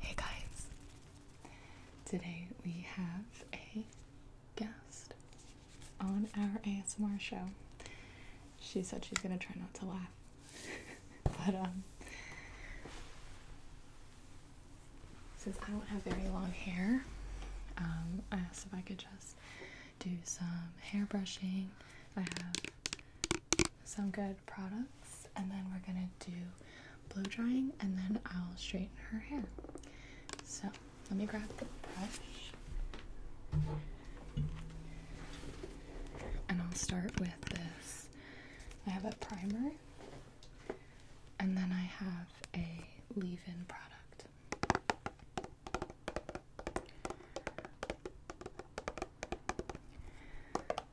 Hey guys, today we have a guest on our ASMR show. She said she's gonna try not to laugh, but um, since I don't have very long hair, um, I asked if I could just do some hair brushing. I have some good products, and then we're gonna do blow drying, and then I'll straighten her hair. So let me grab the brush, and I'll start with this. I have a primer, and then I have a leave-in product.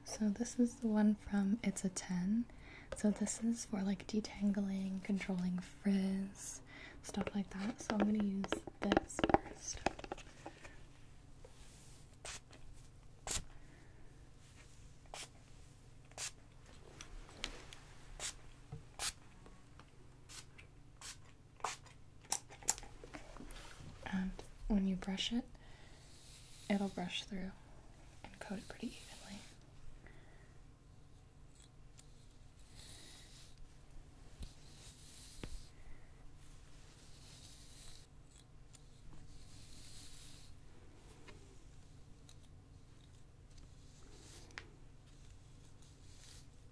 So this is the one from It's a 10. So this is for like detangling, controlling frizz, stuff like that. So I'm going to use this first. And when you brush it, it'll brush through and coat it pretty evenly.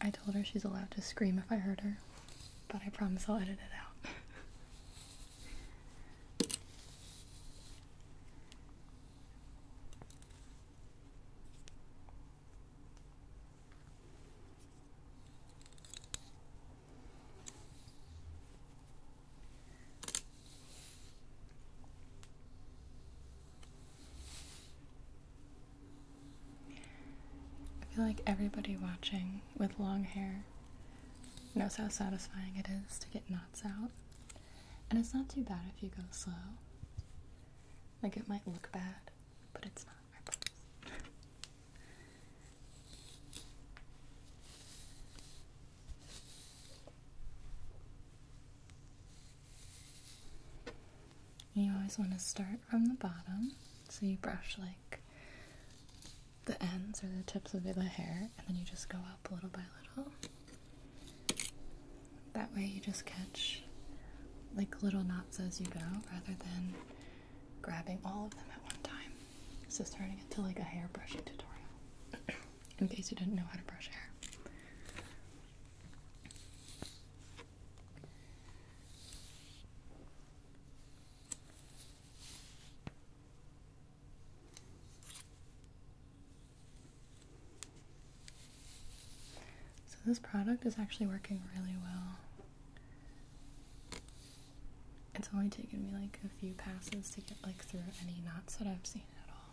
I told her she's allowed to scream if I hurt her, but I promise I'll edit it out. I feel like everybody watching with long hair knows how satisfying it is to get knots out. And it's not too bad if you go slow. Like it might look bad, but it's not, you always want to start from the bottom, so you brush like the ends or the tips of the hair, and then you just go up little by little. That way, you just catch like little knots as you go rather than grabbing all of them at one time. So, starting it to like a hair brushing tutorial in case you didn't know how to brush hair. So, this product is actually working really well. It's only taken me like a few passes to get like through any knots that I've seen at all.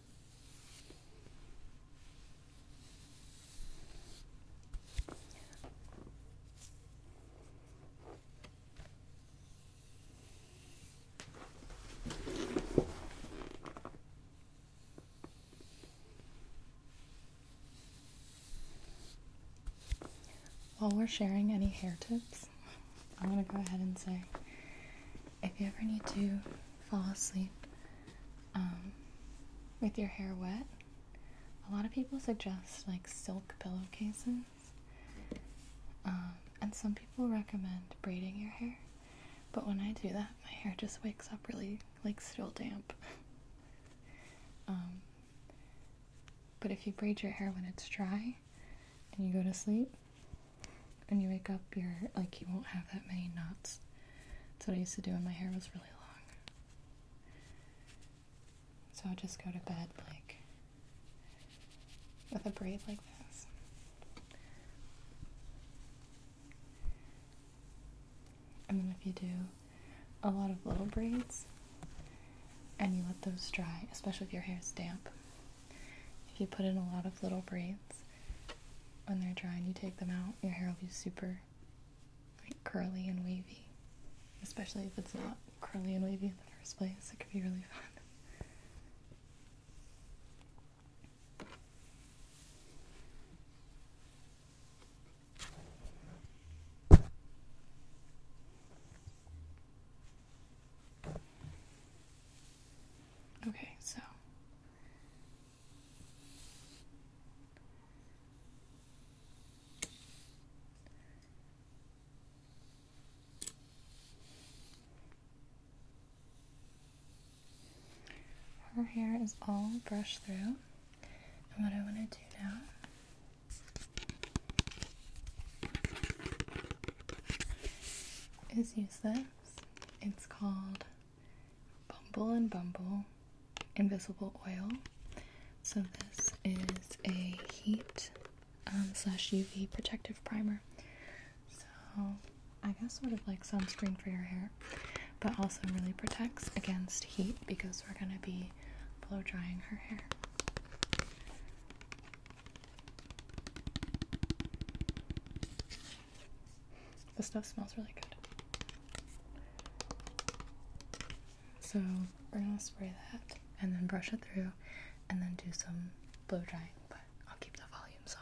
While we're sharing any hair tips, I'm gonna go ahead and say if you ever need to fall asleep um, with your hair wet, a lot of people suggest like silk pillowcases. Um, and some people recommend braiding your hair, but when I do that, my hair just wakes up really like still damp. Um, but if you braid your hair when it's dry and you go to sleep, when you wake up, you're like, you won't have that many knots. That's what I used to do when my hair was really long. So I'll just go to bed like with a braid like this. And then if you do a lot of little braids and you let those dry, especially if your hair is damp, if you put in a lot of little braids, when they're dry and you take them out, your hair will be super curly and wavy. Especially if it's not curly and wavy in the first place, it could be really fun. Okay, so her hair is all brushed through, and what I want to do now. Is use this it's called Bumble and Bumble Invisible Oil. So this is a heat um, slash UV protective primer. So I guess sort of like sunscreen for your hair, but also really protects against heat because we're gonna be blow drying her hair. The stuff smells really good. So we're gonna spray that and then brush it through and then do some blow drying, but I'll keep the volume soft.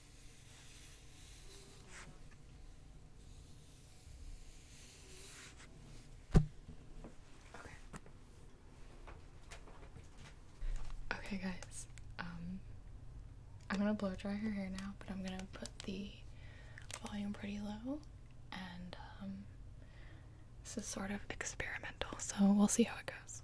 Okay. guys. Um, I'm gonna blow dry her hair now, but I'm gonna put the volume pretty low, and um, this is sort of experimental, so we'll see how it goes.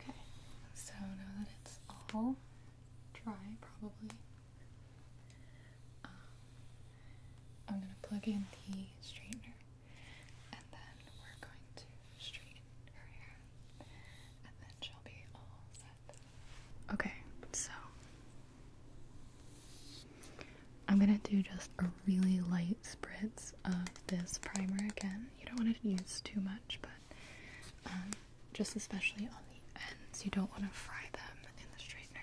Okay, so now that it's all dry, probably, um, I'm going to plug in the straightener and then we're going to straighten her hair. Okay, so I'm gonna do just a really light spritz of this primer again. You don't want to use too much, but um, just especially on the ends, you don't want to fry them in the straightener.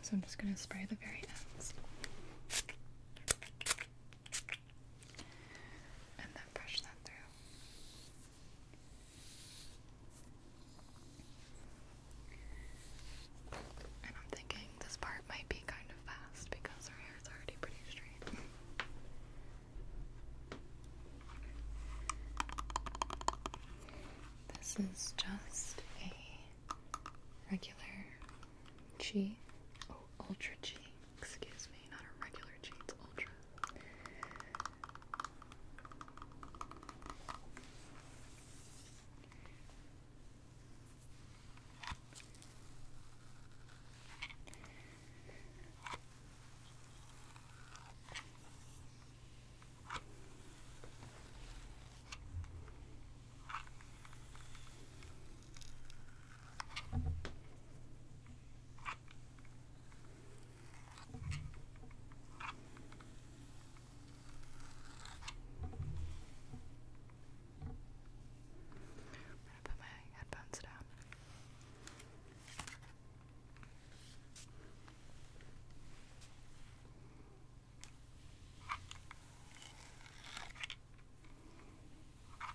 So I'm just gonna spray the very ends and then brush that through. And I'm thinking this part might be kind of fast because her hair is already pretty straight. This is just a regular G, oh, Ultra G Excuse me, not a regular Jeans Ultra gonna put my headphones down.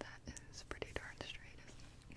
That is pretty darn straight, isn't it?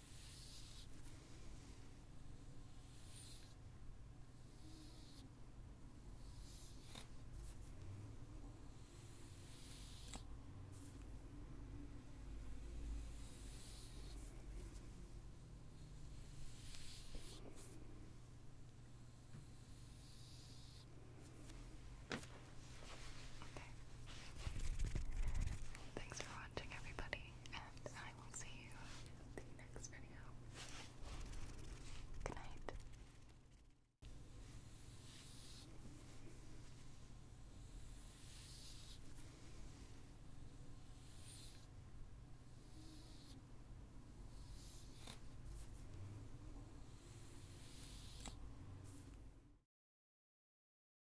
Okay. Thanks for watching, everybody, and I will see you in the next video. Good night.